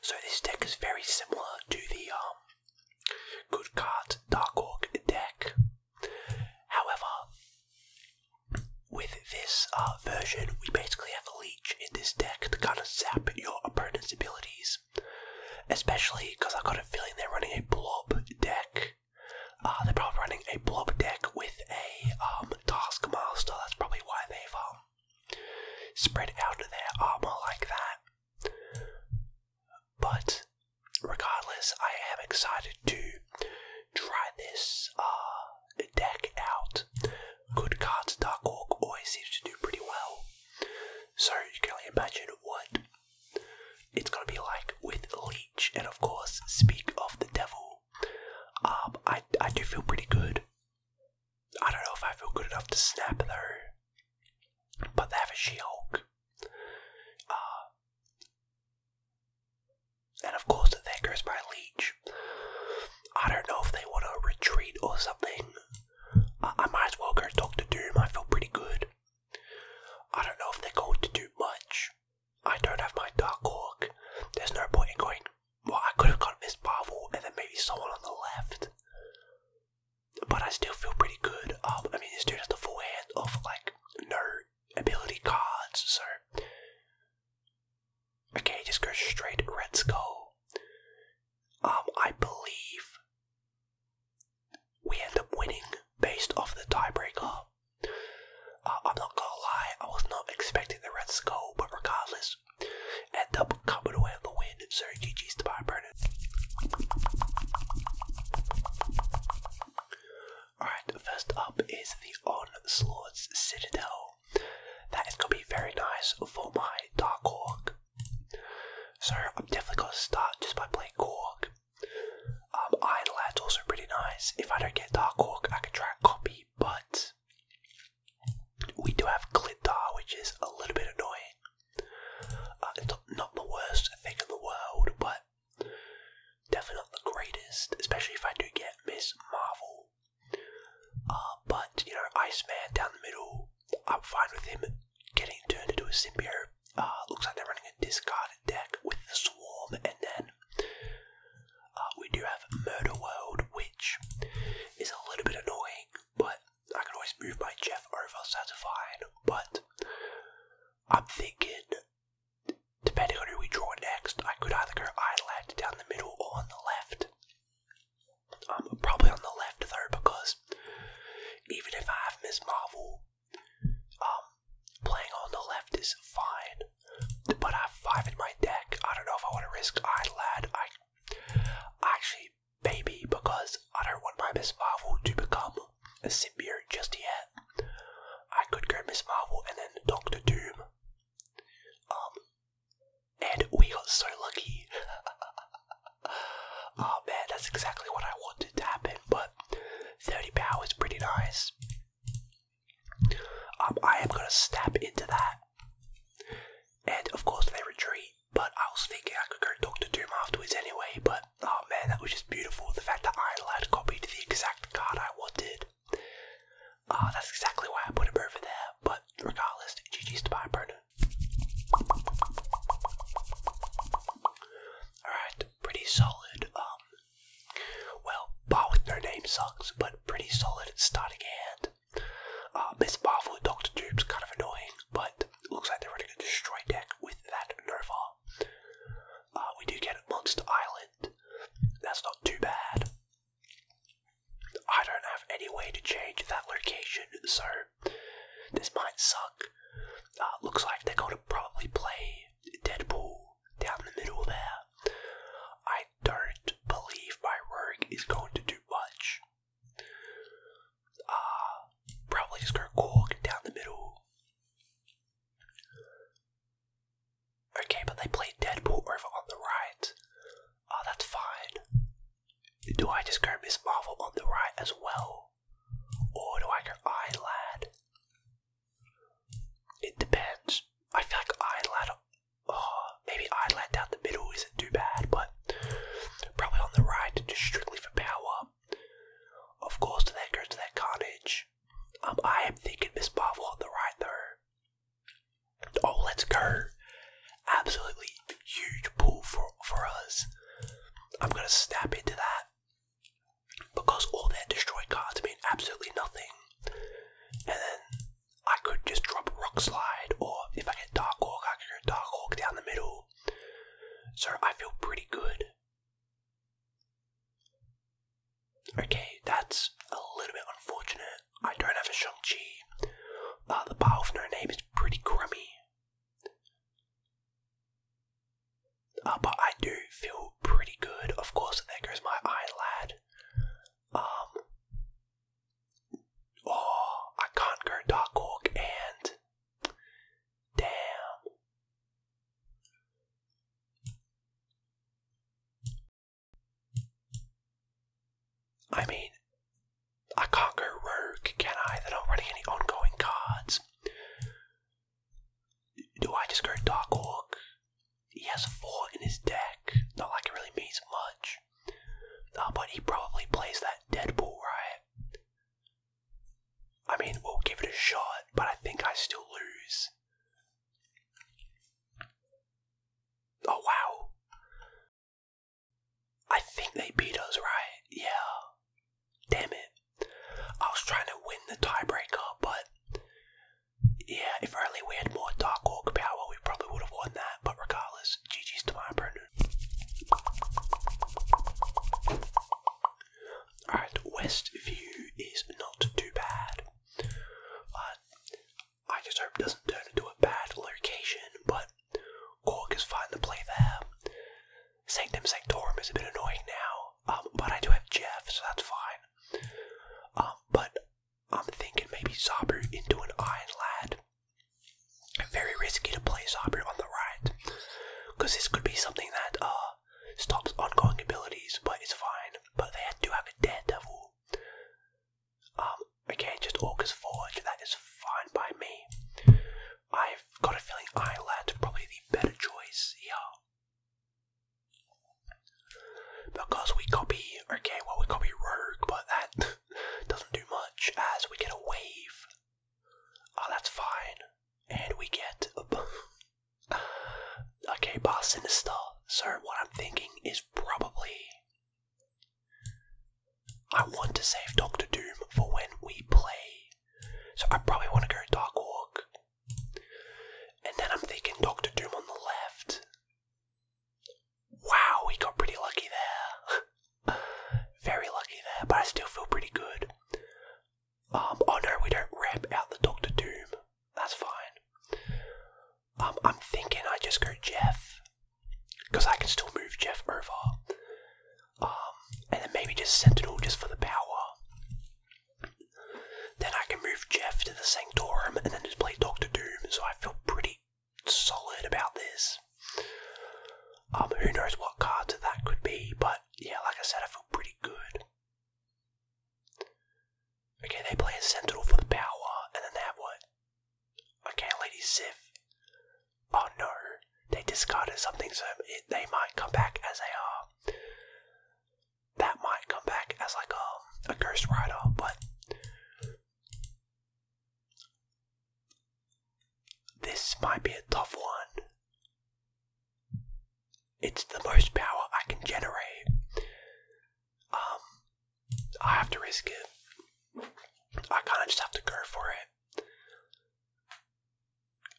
So this deck is very similar to the um, Good Cards Dark Orc deck. However, with this uh, version, we basically have a leech in this deck to kind of zap your opponent's abilities. Especially because I got a feeling they're running a blob deck. Uh, they're probably running a blob deck with a um, Taskmaster, that's probably why they've um, spread out their armor like that. But regardless, I am excited to try this uh, deck out. Good cards, Dark Orc always seems to do pretty well. So you can only imagine what it's going to be like with Leech. And of course, speak of the devil. Um, I do feel pretty good I don't know if I feel good enough to snap though. But they have a She-Hulk. Uh, and of course, there goes my leech. I don't know if they want to retreat or something. I, might as well go Doctor Doom. I feel pretty good. I don't know if they're going to do much. I don't have my Dark Hawk. There's no point in going, well, I could have gotten Miss Marvel and then maybe someone on the left. But I still feel pretty good. Um, I mean, this dude has the forehand of, like, no ability cards, so. Okay, just go straight Red Skull. Um, I believe we end up winning based off the tiebreaker. Uh, I'm not gonna lie, I was not expecting the red skull, but regardless, end up coming away with the win. So GG's to Byron. Alright, first up is the Onslaught's Citadel. That is going to be very nice for my Dark Hawk. So I'm definitely going to start just by playing Korg. Um, Iron Lad's also pretty nice. If I don't get Dark Hawk, I can try a copy, but we do have Glintar, which is a little bit annoying. Uh, it's not, the worst thing in the world, but definitely not the greatest, especially if I do get Miss Marvel. Uh, but, you know, Iceman down the middle, I'm fine with him getting turned into a symbiote. Uh, looks like they're running a discard deck with the Swarm, and then uh, we do have Murder World, which is a little bit annoying, but I can always move my Jeff over, so that's fine. But I'm thinking, depending on who we draw next, I could either go Idlehead down the middle or on the left. I'm um, probably on the left though, because even if I have Miss Marvel, um, playing on the left is fine, but I have five in my deck. I don't know if I want to risk Lad. I actually, maybe because I don't want my Miss Marvel to become a symbiote just yet. I could go Miss Marvel and then Doctor Doom. Um, and we got so lucky. oh man, that's exactly what I wanted to happen, but 30 power is pretty nice. Um, I am gonna step into that. And of course they retreat, but I was thinking I could go talk to Doom afterwards anyway, but oh man, that was just beautiful. The fact that Iron Lad copied the exact card I wanted. Uh, that's exactly why I put a him over there, but regardless, GG's to buy Bruno. Alright, pretty solid. Um, well, Ba with no name sucks, but pretty solid starting hand. Uh, Miss Marvel, Doctor Dooms, kind of annoying, but looks like they're running a destroy deck with that Nova. Uh, we do get Monster Island. That's not too bad. I don't have any way to change that location, so this might suck. Uh, looks like they're going to probably play Deadpool down the middle there. I don't believe my work is going to do much. Uh, probably just go Cork down the middle. Okay, but they play Deadpool over on the right. Ah, that's fine. Do I just go Miss Marvel on the right as well? Or do I go lad? It depends. I feel like Eyelad, oh, maybe Eyelad down the middle isn't too bad, but probably on the right, just strictly for power. Of course, to that goes to that Carnage. Um, I am thinking Miss Marvel on the right though. Oh, let's go! Absolutely huge pull for for us. I'm gonna snap into that because all their destroyed cards mean absolutely nothing. And then I could just drop Rock Slide, or if I get Dark Hawk, I can go Dark Hawk down the middle. So I feel pretty good. Okay, that's a little bit unfortunate. I don't have a Shang-Chi. Uh, the Power of No Name is pretty crummy. Uh, but I do feel pretty good. Of course, there goes my eyelad. Um, oh, I can Dark Hawk and. Damn. I mean, I can't go rogue, can I? they aren't running any ongoing cards. Do I just go Dark Orc? He has a 4 in his deck. Not like it really means much. Uh, but he probably plays that Deadpool, right? I mean, we'll give it a shot, but I think I still lose. Oh wow. I think they beat us, right? Yeah. Damn it. I was trying to win the tiebreaker, but yeah, if only we had more Dark Hawk power, we probably would have won that. But regardless, GG's to my opponent. Alright, View is not too bad. I just hope doesn't turn into a bad location, but Cork is fine to play there. Sanctum Sanctorum is a bit annoying now, um, but I do have Jeff, so that's fine. Um, but I'm thinking maybe Zabu into an Iron Lad. Very risky to play Zabu on the right, because this could be something that uh, stops ongoing abilities, but it's fine. But they had to have a Daredevil okay, um, just Orcus Forge, that is fine by me. I've got a feeling Island probably the better choice here. Because we copy, okay, well, we copy Rogue, but that doesn't do much as we get a wave. Oh, that's fine. And we get. okay, Bar Sinister. So, what I'm thinking is probably I want to save Doctor Doom for when we play. So I probably want to go Dark Walk, And then I'm thinking Doctor Doom on the left. Wow, we got pretty lucky there. Very lucky there, but I still feel pretty good. Um, oh no, we don't ramp out the Doctor Doom. That's fine. I'm thinking I just go Jeff, because I can still move Jeff over. Um, and then maybe just Sentinel just for the power. Then I can move Jeff to the Sanctorum and then just play Doctor Doom. So I feel pretty solid about this. Um, who knows what cards that could be, but yeah, like I said, I feel pretty good. Okay, they play a Sentinel for the power, and then that one. Okay, Lady Sif. Oh no, they discarded something, so they might come back as they uh, are. that might come back as like a, a Ghost Rider, but. This might be a tough one. It's the most power I can generate um, I have to risk it. I kind of just have to go for it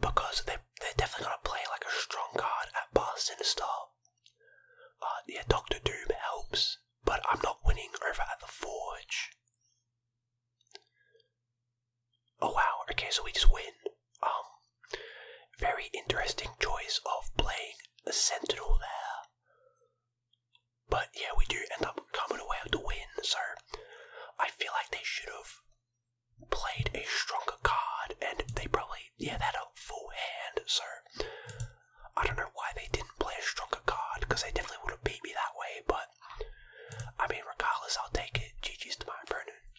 because they they're definitely gonna play like a strong card at pass and start. Uh, yeah, Doctor Doom helps, but I'm not winning over at the Forge. Oh wow, okay, so we just win. Um, very interesting choice of playing a Sentinel there. But yeah, we do end up coming away with the win, sir. I feel like they should have played a stronger card, and they probably, yeah, they had a full hand, sir. I don't know why they didn't play a stronger card, because they definitely would have beat me that way, but I mean, regardless, I'll take it. GG's to my opponent.